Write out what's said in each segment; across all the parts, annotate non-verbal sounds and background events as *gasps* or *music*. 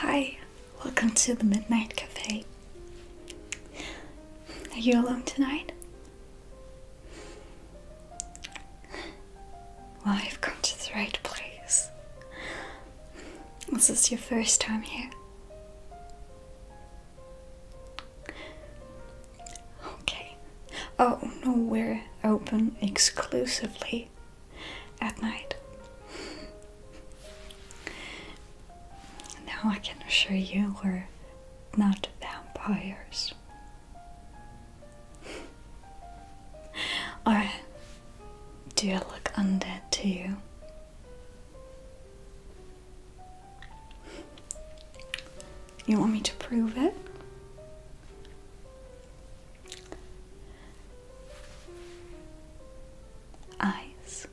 Hi, welcome to the Midnight Cafe. Are you alone tonight? Well, I've come to the right place. This your first time here. Okay. Oh no, we're open exclusively at night. Now I can assure you we're not vampires. or do I look undead to you? You want me to prove it? Eyes.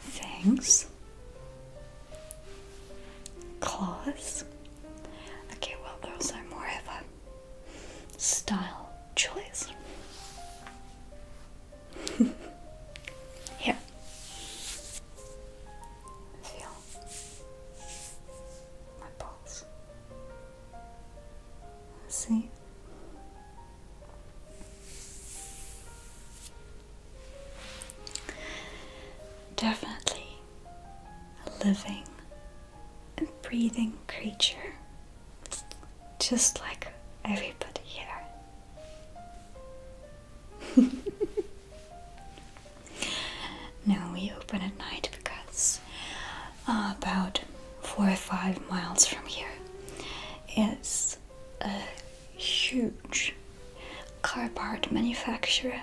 Fangs. Claws. Okay, well, those are more of style choice. Here. *laughs* Feel my pulse. See? Definitely a living and breathing creature, just like everybody here. *laughs* no, we open at night because uh, about four or five miles from here is a huge car part manufacturer,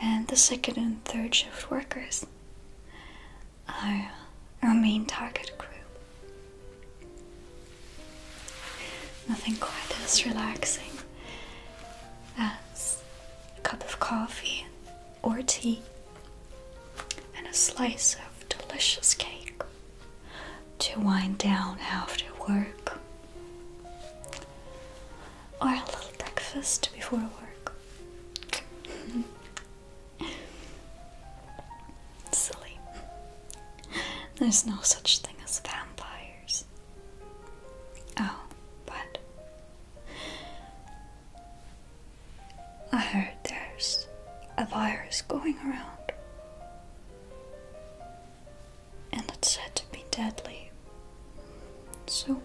and the second and third shift workers are our main target group. Nothing quite as relaxing as a cup of coffee or tea and a slice of delicious cake to wind down after work or a little breakfast before work. *laughs* Silly. There's no such thing as vampires. Oh, but I heard there's a virus going around, and it's said to be deadly. So,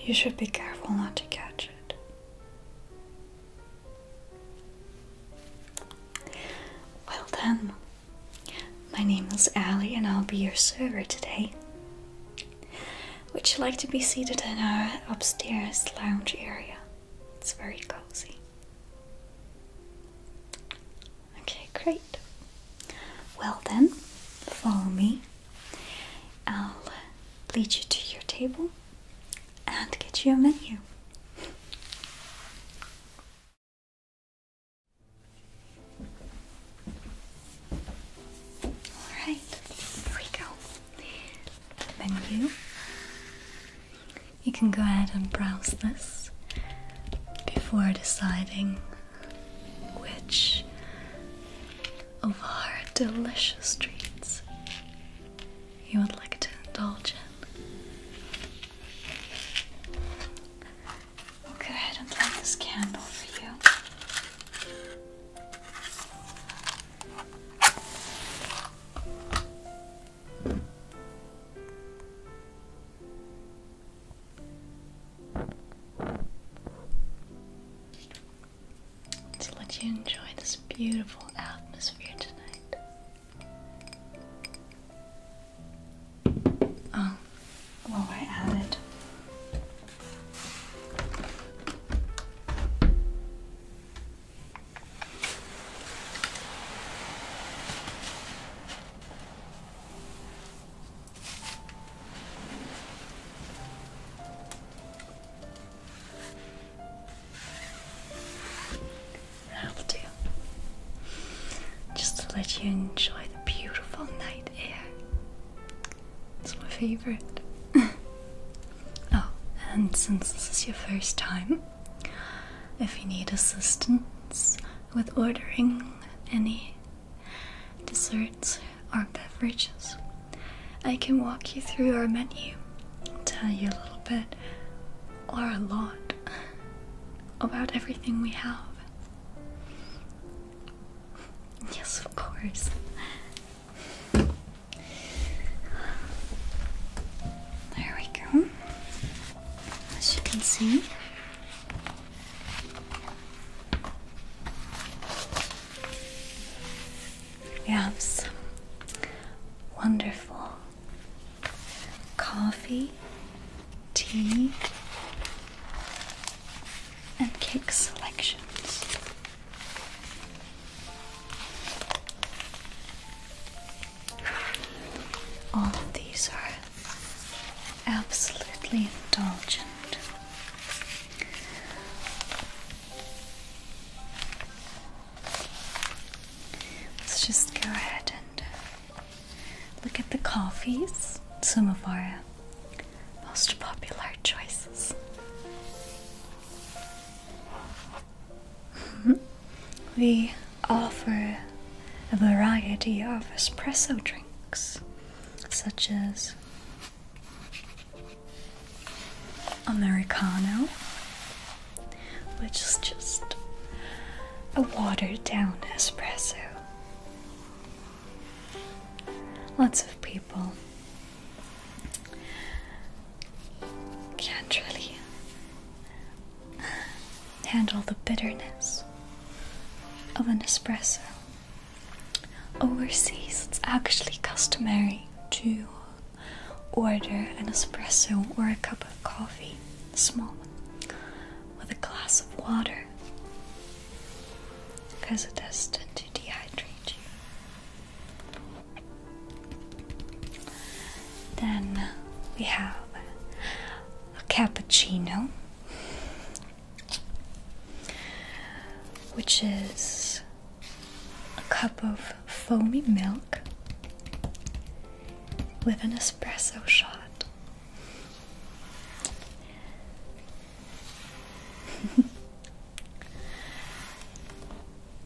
you should be careful not to catch it. Well then, my name is Ali and I'll be your server today. Would you like to be seated in our upstairs lounge area? It's very cozy. Okay, great. Well then, follow me. I'll lead you to your table and get you a menu. Alright, here we go. Menu. You can go ahead and browse this before deciding which of our delicious treats you would like to indulge in. go ahead and light this candle for you. let you enjoy this beautiful atmosphere tonight. Oh, well, I added. That'll Just to let you enjoy the beautiful night air. It's my favorite. *laughs* oh, and since this is your first time, if you need assistance with ordering any desserts or beverages, I can walk you through our menu and tell you a little bit or a lot about everything we have. Yes, of course. There we go. As you can see, we have some wonderful coffee, tea, and cake selections. All of these are absolutely indulgent. Let's just go ahead and uh, look at the coffees. Some most popular choices. Mm-hmm. we offer a variety of espresso drinks, such as Americano, which is just a watered down espresso. Lots of people can't really handle the bitterness of an espresso. Overseas, it's actually customary to Order an espresso or a cup of coffee, small one, with a glass of water because it does tend to dehydrate you. Then we have a cappuccino, which is a cup of foamy milk with an espresso shot. *laughs*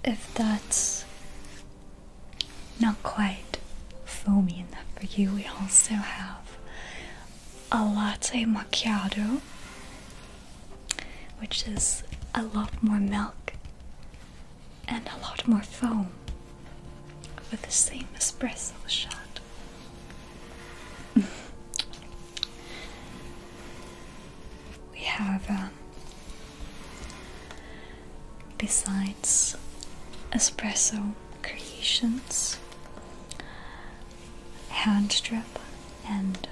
if that's not quite foamy enough for you, we also have a latte macchiato, which is a lot more milk and a lot more foam for the same espresso shot. *laughs* we have, um, besides espresso creations, hand drip, and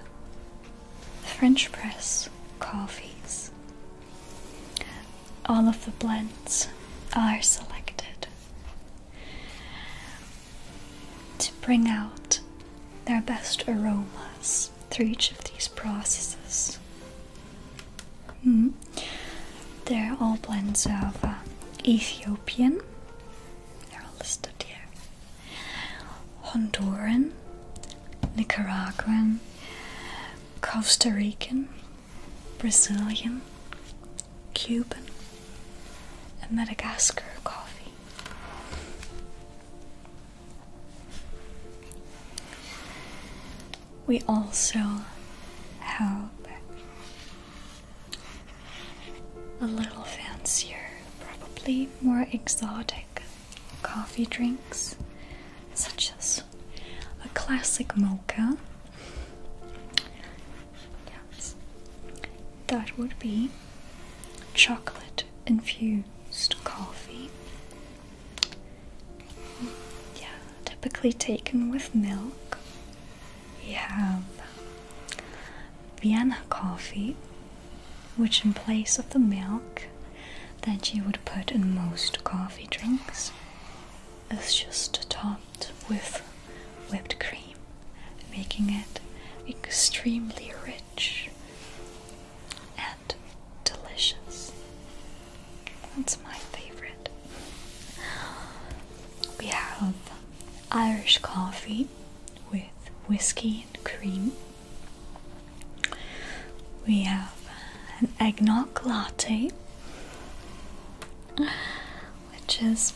French press coffees all of the blends are selected to bring out their best aromas through each of these processes. Hmm. They're all blends of uh, Ethiopian, they're all listed here, Honduran, Nicaraguan, Costa Rican, Brazilian, Cuban, and Madagascar coffee. We also have a little fancier, probably more exotic coffee drinks, such as a classic mocha. Yes, that would be chocolate infused coffee. Yeah, typically taken with milk. We have Vienna coffee, which in place of the milk that you would put in most coffee drinks is just topped with whipped cream, making it extremely rich and delicious. It's my favorite. We have Irish coffee with whiskey and cream. We have an eggnog latte, which is,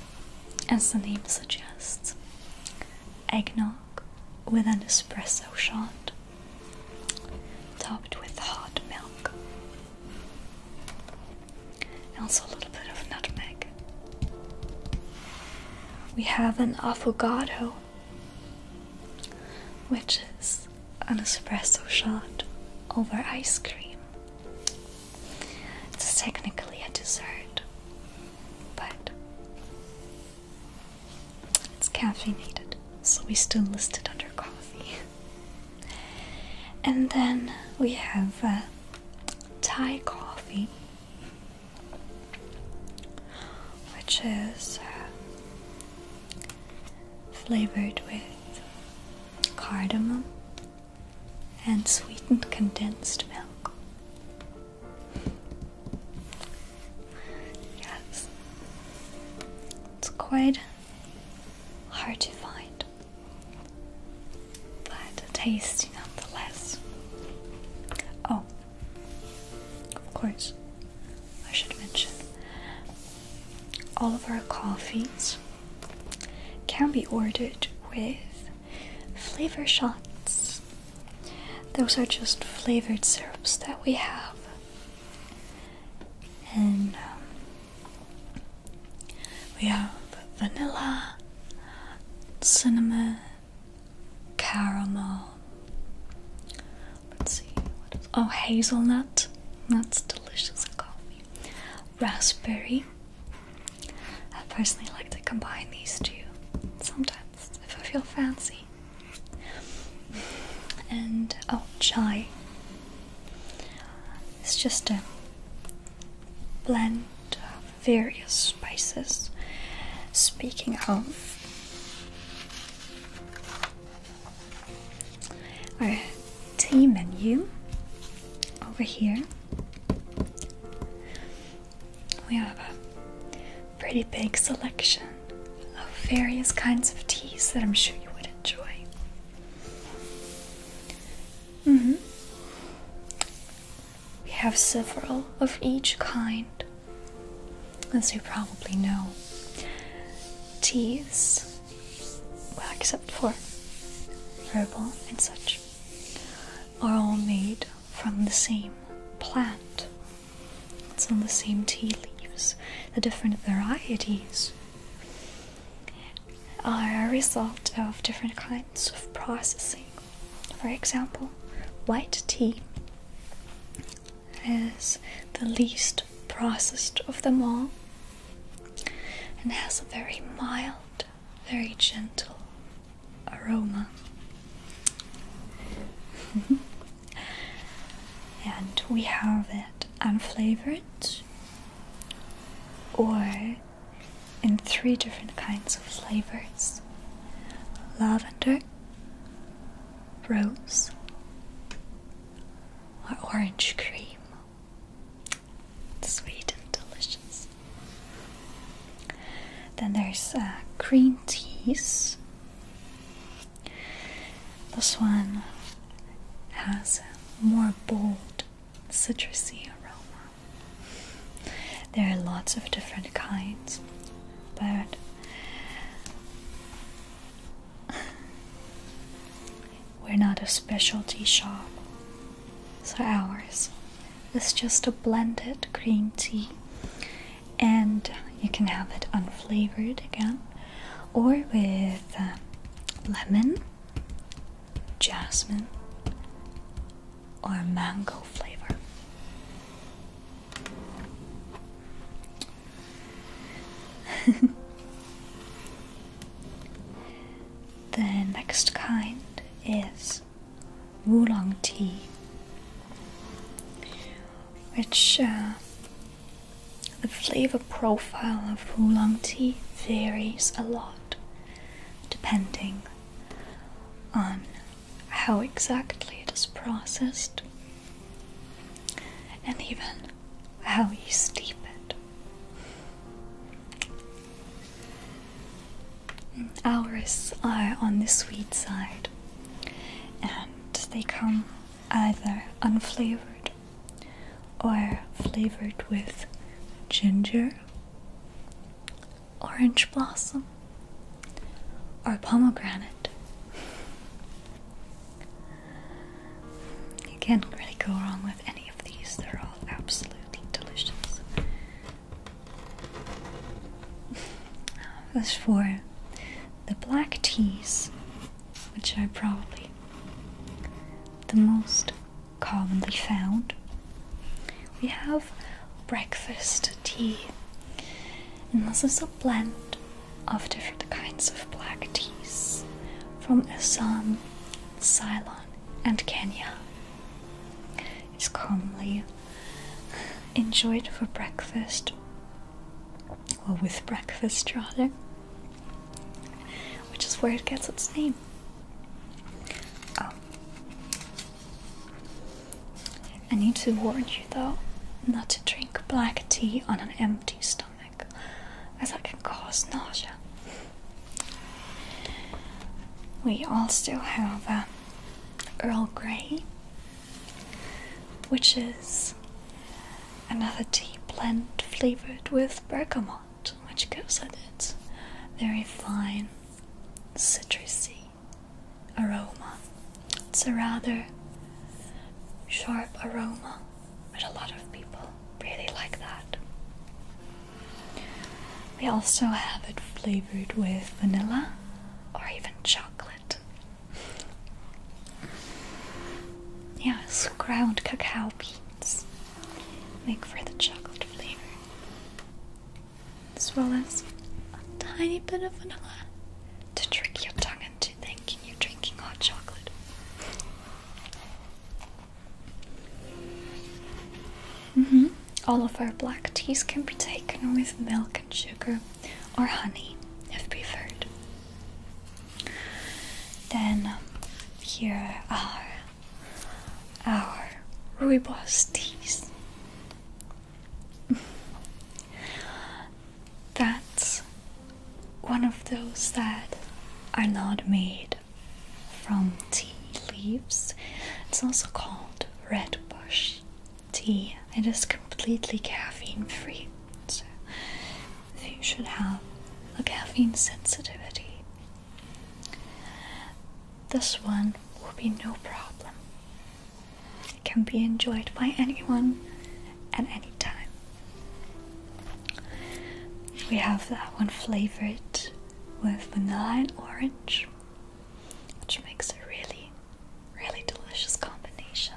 as the name suggests, eggnog with an espresso shot, topped with hot milk. And also a little bit of nutmeg. We have an affogato which is an espresso shot over ice cream. It's technically a dessert, but it's caffeinated, so we still list it under coffee. and then we have uh, Thai coffee, which is uh, flavored with cardamom and sweetened condensed milk. Yes, it's quite hard to find, but tasty nonetheless. Oh, of course, I should mention all of our coffees can be ordered with flavor shots. Those are just flavored syrups that we have. And um, we have vanilla, cinnamon, caramel, Let's see. What else? Oh, hazelnut. That's delicious in coffee. Raspberry. I personally like to combine these two sometimes if I feel fancy. And oh, chai. It's just a blend of various spices. Speaking of, our tea menu over here. We have a pretty big selection of various kinds of teas that I'm sure you would enjoy. Mm-hmm. We have several of each kind as you probably know, teas, well, except for herbal and such, are all made from the same plant. It's on the same tea leaves. The different varieties are a result of different kinds of processing. For example, white tea is the least processed of them all and has a very mild, very gentle aroma. *laughs* and we have it unflavored or in three different kinds of flavors lavender, rose, or orange cream. Sweet and delicious. Then there's uh, green teas. This one has more bold, citrusy aroma. There are lots of different kinds, but we're not a specialty shop, so ours is just a blended green tea, and you can have it unflavored again, or with um, lemon, jasmine, or mango flavor. *laughs* the next kind is Oolong tea, which uh, the flavor profile of Oolong tea varies a lot depending on how exactly it is processed and even how you steep it. Owls are on the sweet side, and they come either unflavored or flavored with ginger, orange blossom, or pomegranate. You can't really go wrong with any of these, they're all absolutely delicious. *laughs* As for the black teas, which are probably the most commonly found, we have breakfast tea, and this is a blend of different kinds of black teas from Assam, Ceylon, and Kenya. It's commonly enjoyed for breakfast, or with breakfast rather, which is where it gets its name. Oh. I need to warn you though not to drink black tea on an empty stomach stomach as it can cause nausea. We also have um, Earl Grey, which is another tea blend flavored with bergamot, which gives it its very fine citrusy aroma. It's a rather sharp aroma but a lot of people really like that. We also have it flavored with vanilla or even chocolate. Yes, ground cacao beans make for the chocolate flavor, as well as a tiny bit of vanilla to trick your tongue into thinking you're drinking hot chocolate. Mm-hmm. All of our black teas can be taken with milk and sugar or honey if preferred. Then here are our rooibos teas. That's one of those that are not made from tea leaves. It's also called red bush tea. It is completely caffeine free. So if you should have a caffeine sensitivity. This one will be no problem. It can be enjoyed by anyone at any time. We have that one flavored with vanilla and orange, which makes a really, really delicious combination.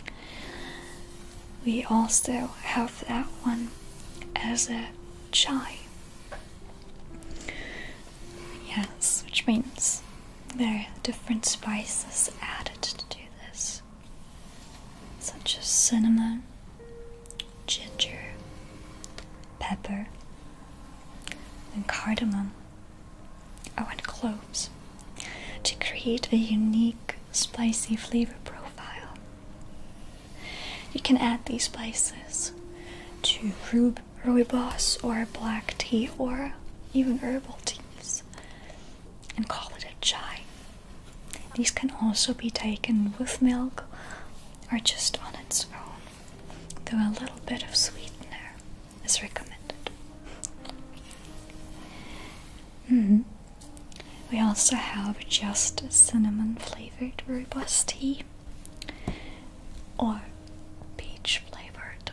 *laughs* we also have that one as a chai. Yes, which means there are different spices added to this such as cinnamon, ginger, pepper, and cardamom, oh, and cloves to create a unique spicy flavor profile. You can add these spices to rube rooibos or black tea or even herbal teas and call it a chai. These can also be taken with milk or just on its own, though a little bit of sweetener is recommended. Mm-hmm. We also have just cinnamon flavored robust tea or peach flavored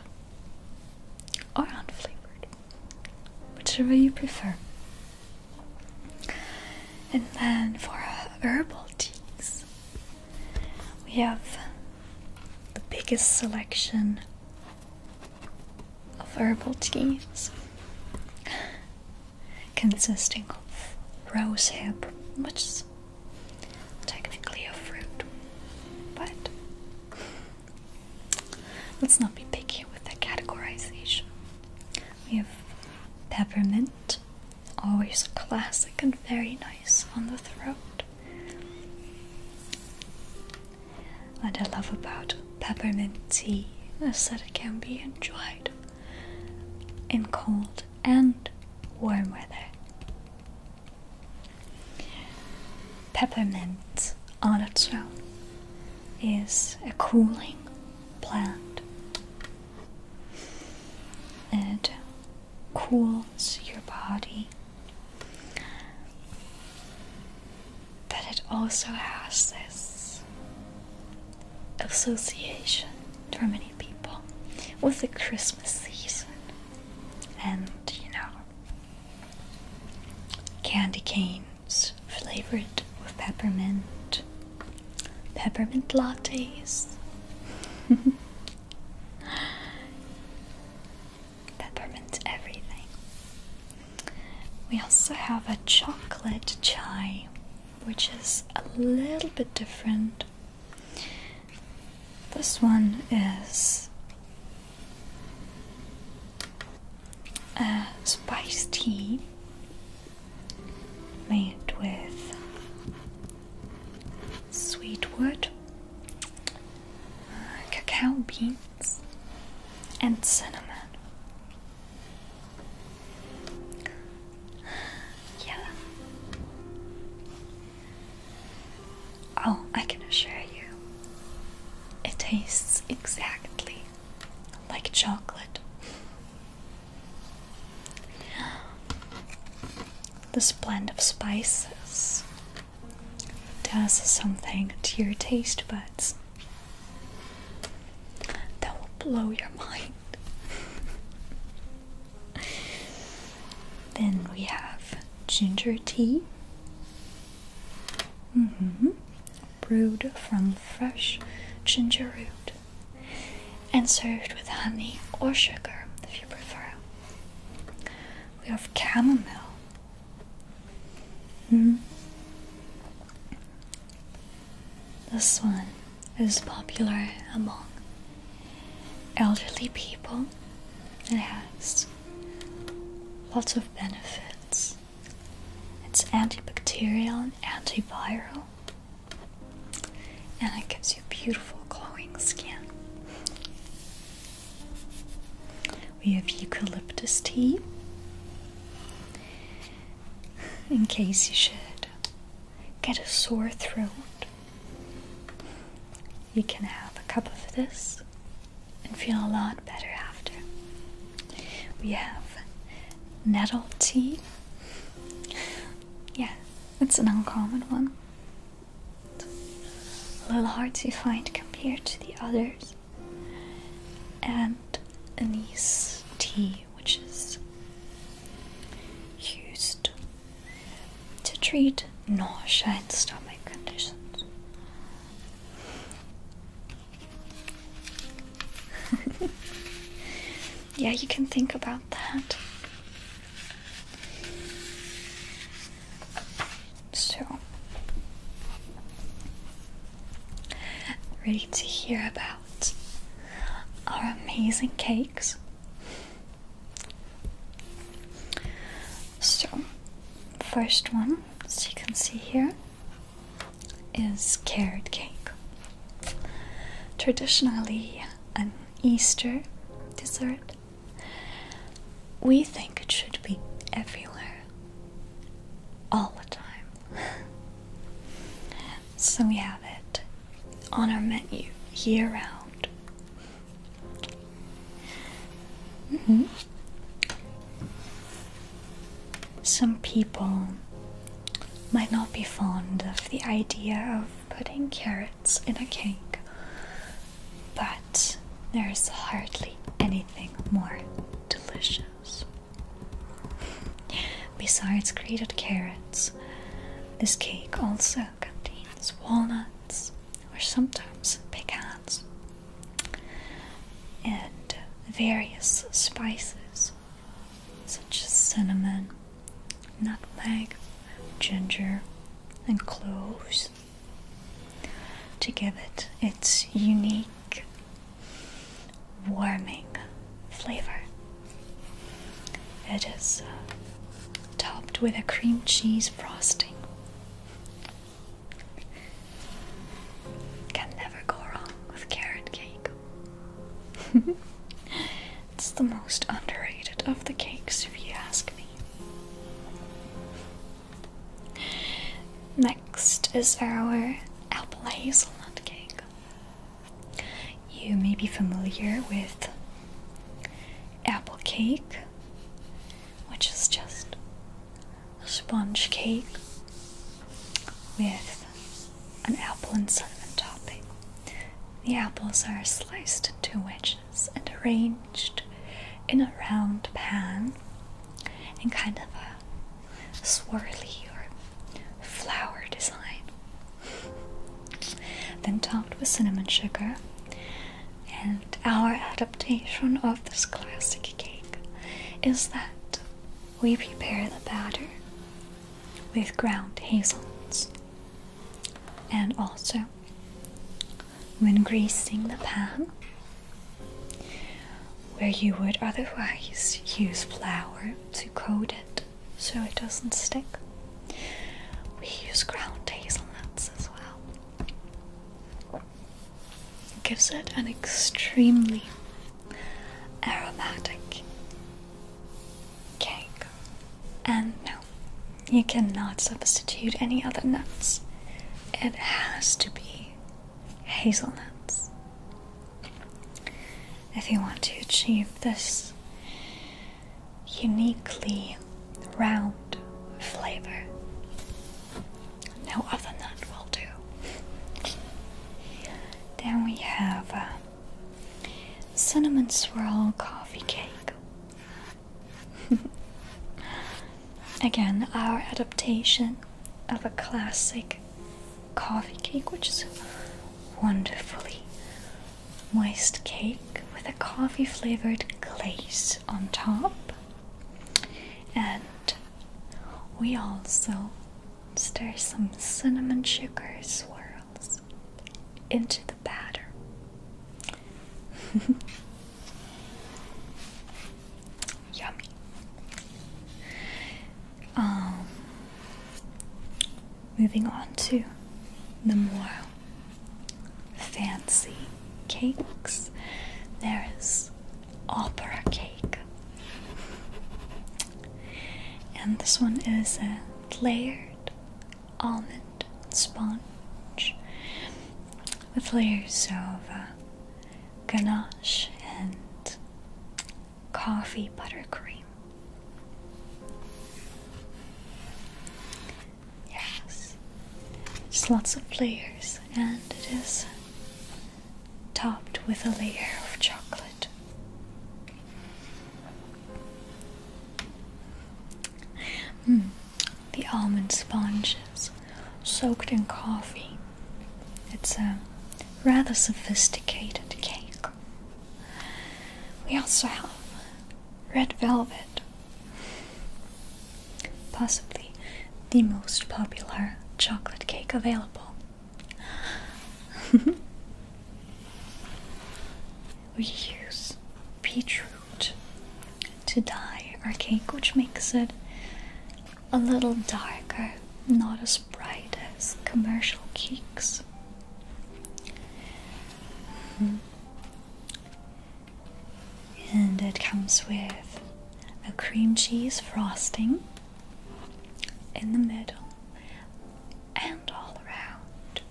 or unflavored whichever you prefer. And then for herbal teas, we have the biggest selection of herbal teas consisting of rosehip, which is technically a fruit, but Let's not be picky with the categorization. We have peppermint, always classic and very nice on the throat. What I love about peppermint tea is that it can be enjoyed in cold and warm weather. Peppermint on its own is a cooling plant. It cools your body, but it also has this association for many people with the Christmas season. And you know, candy canes flavored with peppermint, peppermint lattes, *laughs* peppermint everything. We also have a chocolate chai, which is a little bit different. This one is a uh, spice tea made with sweet wood, uh, cacao beans, and cinnamon. Yeah. Oh, I can assure you, it tastes exactly like chocolate. *gasps* This blend of spices does something to your taste buds that will blow your mind. *laughs* then we have ginger tea Mm-hmm. Brewed from fresh ginger root and served with honey or sugar if you prefer. We have chamomile. Mm-hmm. This one is popular among elderly people. It has lots of benefits it's antibacterial and antiviral, and it gives you beautiful glowing skin. We have eucalyptus tea in case you should get a sore throat. You can have a cup of this and feel a lot better after. We have nettle tea. yeah, it's an uncommon one. A little hard to find compared to the others. And anise tea, which is used to treat nausea and stomach conditions. *laughs* yeah, you can think about that. So, ready to hear about our amazing cakes? So, first one as you can see here, is carrot cake. Traditionally, an Easter dessert. We think it should be everywhere, all the time. *laughs* so we have it on our menu year round. Mm-hmm. Some people might not be fond of the idea of putting carrots in a cake, but there's hardly anything more delicious. Besides grated carrots, this cake also contains walnuts or sometimes pecans, and various spices such as cinnamon, nutmeg, ginger, and cloves to give it its unique warming flavor. It is uh, topped with a cream cheese frosting. *laughs* Can never go wrong with carrot cake. *laughs* it's the most underrated of the cakes, if you ask me. Next is our apple hazelnut cake. You may be familiar with apple cake which is just a sponge cake with an apple and cinnamon topping. The apples are sliced into wedges and arranged in a round pan in kind of a swirly or flower design. Then topped with cinnamon sugar and our adaptation of this classic cake is that we prepare the batter with ground hazelnuts and also when greasing the pan where you would otherwise use flour to coat it so it doesn't stick we use ground hazelnuts as well gives it an extremely aromatic cake. And no, you cannot substitute any other nuts. It has to be hazelnuts. If you want to achieve this uniquely round flavor, no, other nut will do. Then we have uh, cinnamon swirl coffee cake. *laughs* Again, our adaptation of a classic coffee cake, which is wonderfully moist cake with a coffee flavored glaze on top, and we also stir some cinnamon sugar swirls into the batter. *laughs* Yummy. Um, moving on to the more fancy cakes. There is opera cake. And this one is a layered almond sponge with layers of uh, ganache and coffee buttercream. Yes, just lots of layers, and it is topped with a layer of chocolate. Mm, the almond sponges soaked in coffee. It's a rather sophisticated cake. We also have red velvet possibly the most popular chocolate cake available. *laughs* we use beetroot to dye our cake, which makes it a little darker, not as bright as commercial cakes and it comes with a cream cheese frosting in the middle and all around.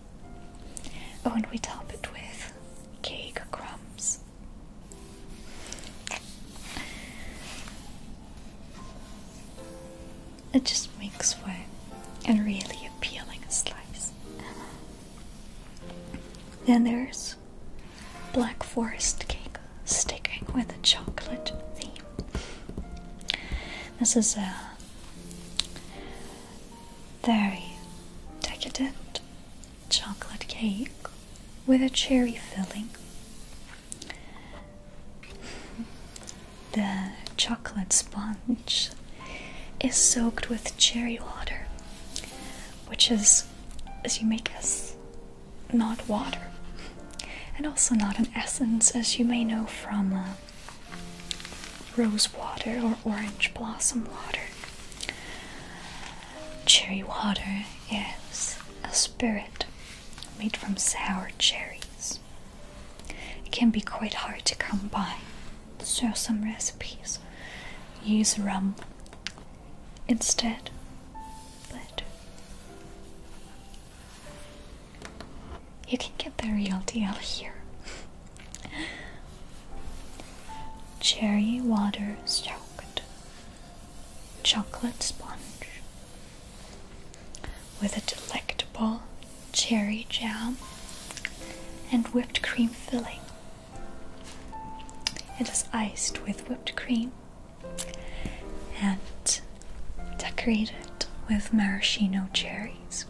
Oh, and we top it with cake crumbs. It just makes for a really appealing slice. Then there's black forest cake sticking with a chocolate theme. This is a very decadent chocolate cake with a cherry filling. The chocolate sponge is soaked with cherry water, which is, as you may guess, not water, and also not an essence, as you may know from uh, rose water or orange blossom water. Cherry water is a spirit made from sour cherries. It can be quite hard to come by, so some recipes use rum instead. But you can get the real deal here. Cherry water soaked chocolate sponge with a delectable cherry jam and whipped cream filling. It is iced with whipped cream and decorate it with maraschino cherries.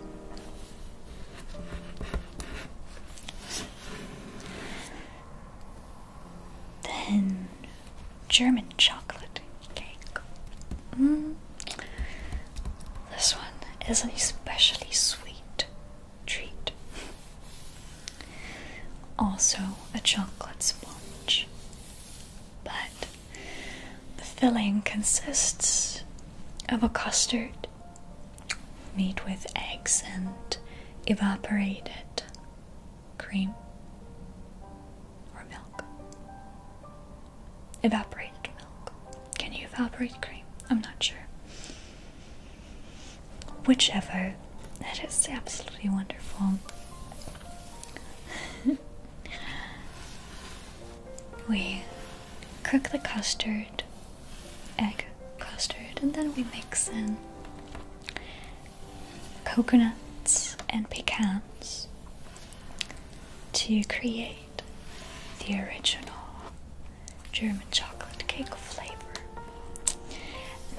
Then German chocolate cake. Mm. This one is an especially sweet treat. Also, a chocolate sponge. But the filling consists of a custard made with eggs and evaporated cream or milk. Evaporated milk. Can you evaporate cream? I'm not sure. Whichever. That is absolutely wonderful. *laughs* we cook the custard, egg custard, and then we mix in coconuts and pecans to create the original German chocolate cake flavor.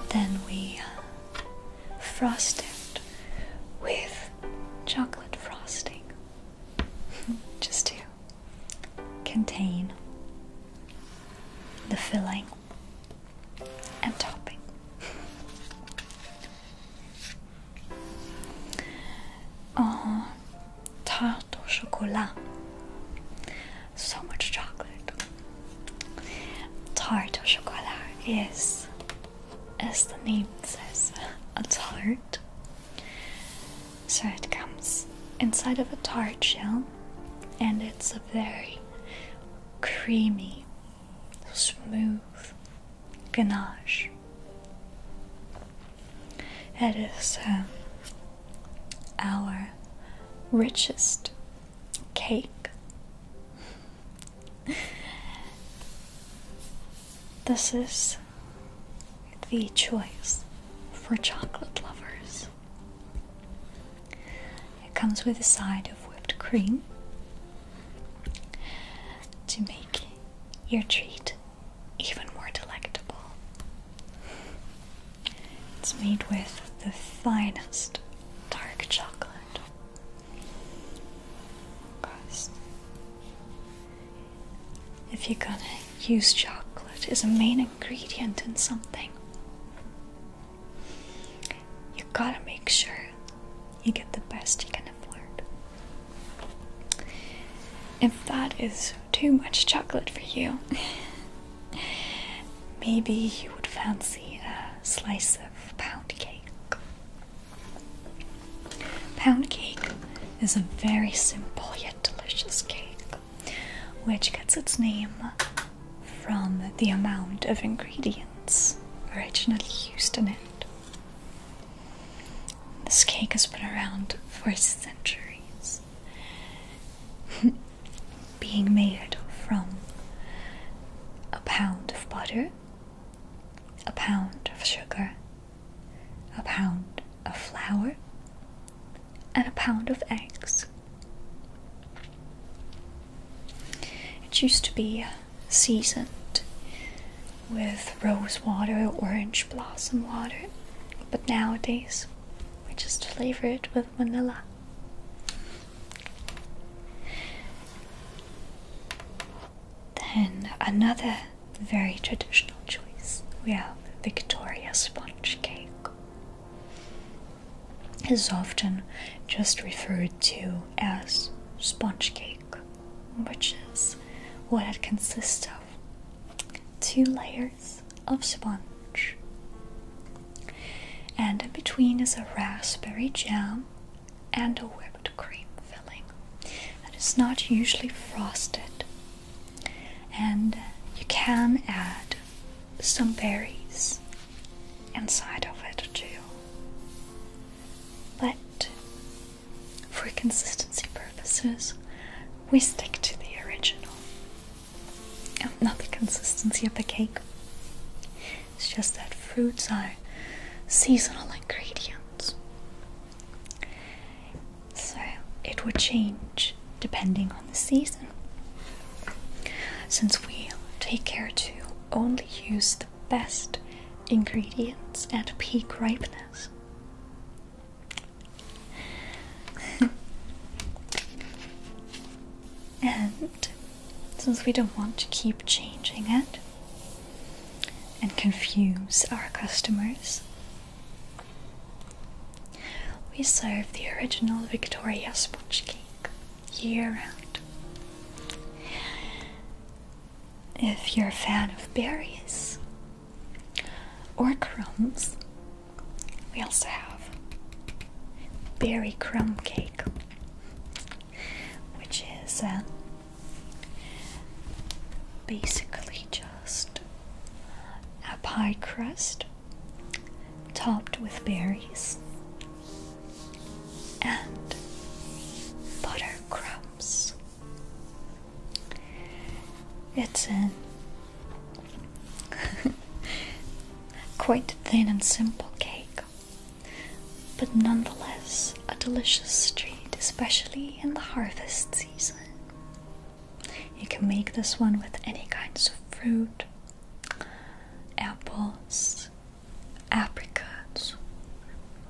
And then we uh, frosted with chocolate frosting *laughs* just to contain the filling and topping. En *laughs* tarte au chocolat so much chocolate. Tart au chocolat is, as the name says, a tart. So it comes inside of a tart shell, and it's a very creamy, smooth ganache. It is um, our richest cake. This is the choice for chocolate lovers. It comes with a side of whipped cream to make your treat even more delectable. It's made with the finest dark chocolate Christ. If you're gonna use chocolate as a main ingredient in something, you gotta make sure you get the best you can afford. If that is too much chocolate for you, *laughs* maybe you would fancy a slice of pound cake. Pound cake is a very simple yet delicious cake, which gets its name from the amount of ingredients originally used in it. This cake has been around for centuries. *laughs* being made from a pound of butter, a pound of sugar, a pound of flour, and a pound of eggs. It used to be uh, seasoned with rose water orange blossom water, but nowadays we just flavor it with vanilla. Then another very traditional choice. We have Victoria sponge cake. is often just referred to as sponge cake, which is what it consists of two layers of sponge and in between is a raspberry jam and a whipped cream filling that is not usually frosted. And you can add some berries inside of it too. But for consistency purposes, we stick to the original. Oh, not the consistency of the cake, it's just that fruits are seasonal ingredients. So it would change depending on the season. Since we take care to only use the best ingredients at peak ripeness. *laughs* since we don't want to keep changing it and confuse our customers. We serve the original Victoria sponge cake year round. If you're a fan of berries or crumbs, we also have berry crumb cake which is um, basically just a pie crust topped with berries and butter crumbs. It's um, a *laughs* quite thin and simple cake, but nonetheless a delicious treat, especially in the harvest season. You can make this one with any kinds of fruit apples, apricots,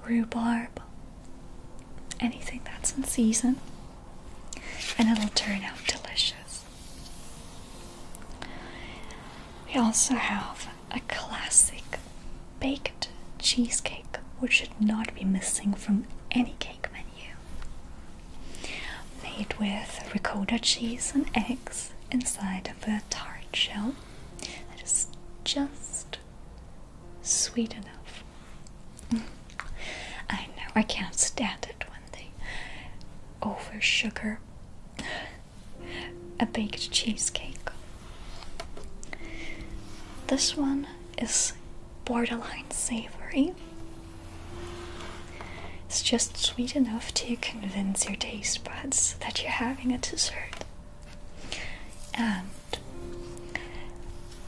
rhubarb, anything that's in season, and it'll turn out delicious. We also have a classic baked cheesecake, which should not be missing from any cake menu. Made with ricotta cheese and eggs inside of a tart shell that is just sweet enough. I know, I can't stand it when they oversugar a baked cheesecake. This one is borderline savory. It's just sweet enough to convince your taste buds that you're having a dessert. And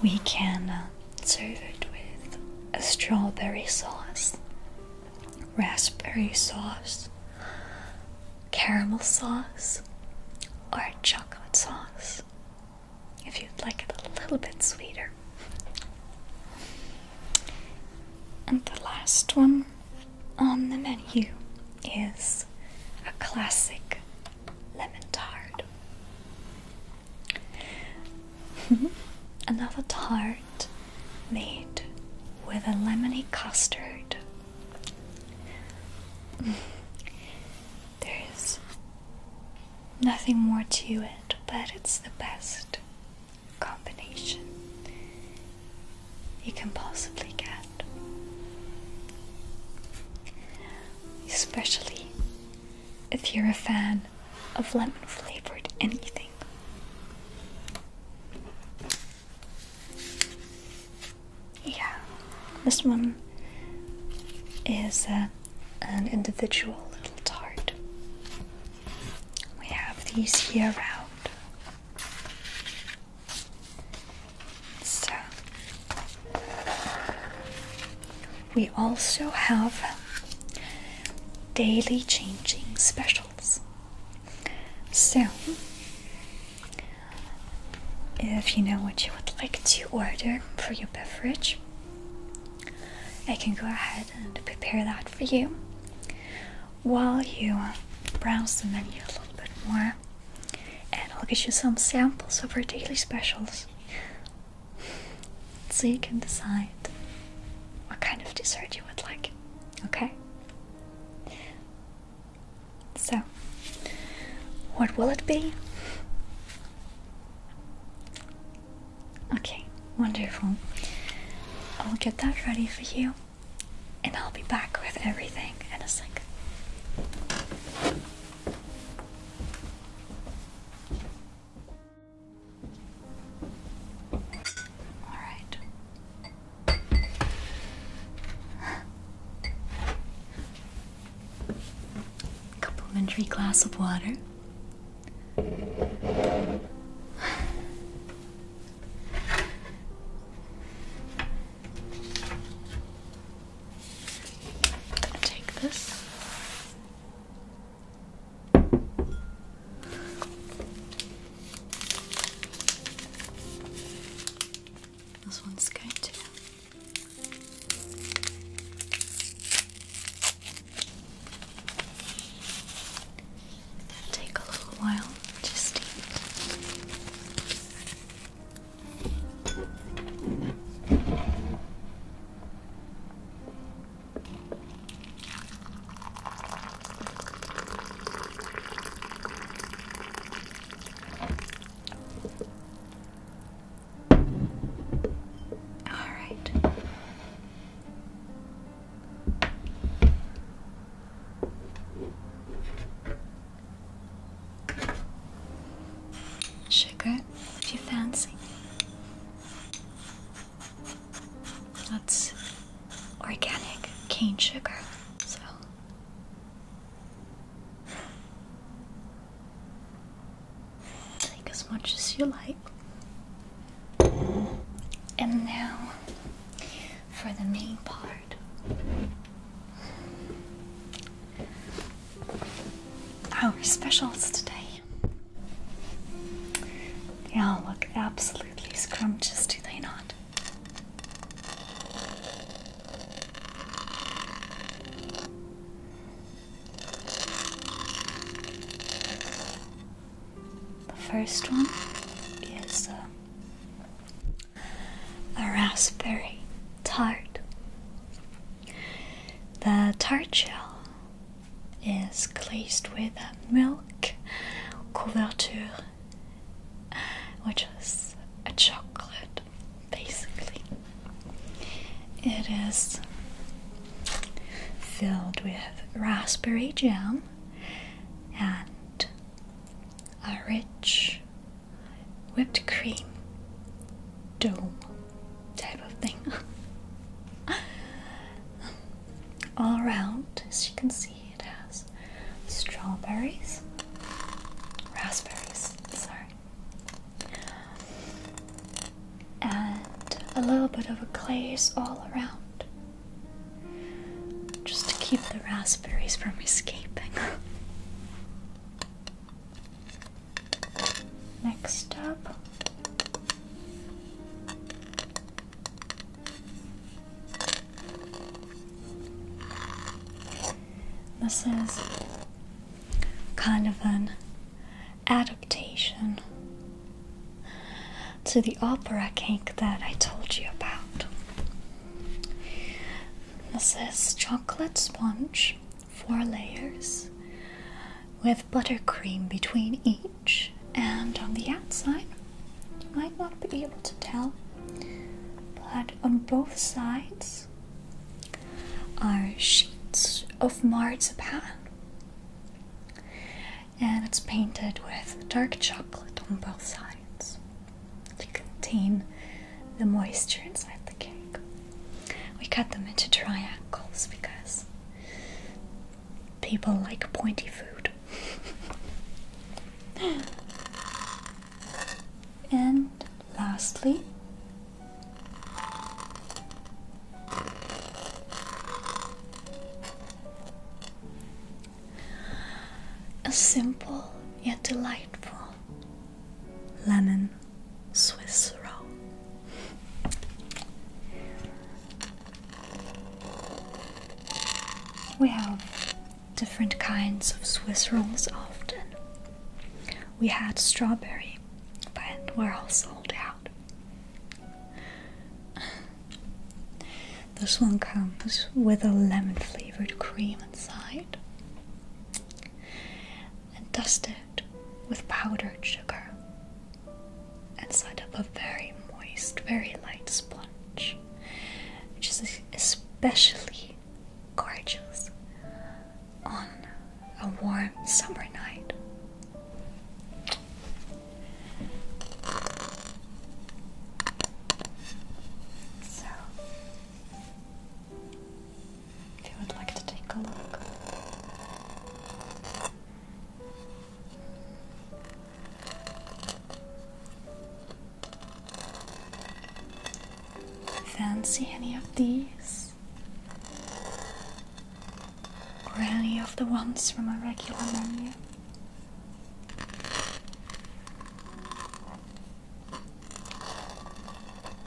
we can uh, serve it with a strawberry sauce raspberry sauce, caramel sauce, or chocolate sauce if you'd like it a little bit sweeter. And the last one on the menu is a classic lemon tart. *laughs* Another tart made with a lemony custard. Mm. There's nothing more to it, but it's the best combination you can possibly get. Especially if you're a fan of lemon flavored anything. Yeah, this one is uh, an individual little tart. We have these year round. So, we also have daily changing specials. So, if you know what you would like to order for your beverage, I can go ahead and prepare that for you while you browse the menu a little bit more, and I'll get you some samples of our daily specials so you can decide what kind of dessert you would like. Okay? So, what will it be? Okay, wonderful. I'll get that ready for you and I'll be back with everything in a second. Alright. Complimentary glass of water. take this. This one's going to. Take a little while just to eat. All right. Sugar, if you fancy. That's organic cane sugar. So take as much as you like. And now for the main part. Our specials today. They all look absolutely scrumptious, do they not? The first one is uh, a raspberry tart. The tart shell is glazed with a milk couverture *laughs* which is a chocolate basically. It is filled with raspberry jam and a rich whipped cream dome type of thing. *laughs* All around, as you can see, it has strawberries, raspberries, sorry, and a little bit of a glaze all around just to keep the raspberries from escaping. *laughs* Next up, this is kind of an adaptation to the opera cake that I told you about. This is chocolate sponge, four layers, with buttercream between each, and on the outside, you might not be able to tell, but on both sides are sheets of marzipan, and it's painted with dark chocolate on both sides to contain the moisture inside the cake. We cut them into triangles because people like pointy food. *laughs* and lastly, a simple yet delightful lemon Swiss roll. We have different kinds of Swiss rolls often. We had strawberry, but we're all sold out. This one comes with a lemon flavored cream inside and dusted with powdered sugar and set up a very moist, very light sponge which is especially gorgeous on a warm summer night. So, if you would like to take a look. Fancy any of these? Or any of the ones from a regular menu?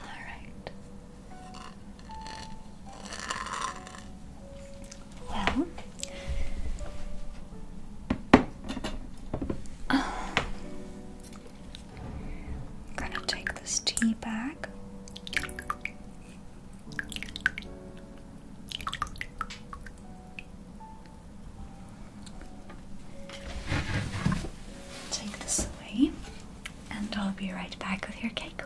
Alright. Well, I'm gonna take this tea bag. Take this away, and I'll be right back with your cake.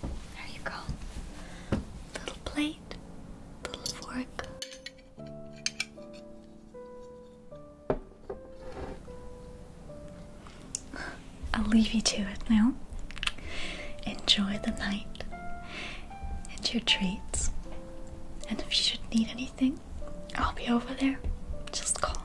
There you go. Little plate, little fork. I'll leave you to it now. Enjoy the night and your treats. And if you should need anything, I'll be over there. Just call.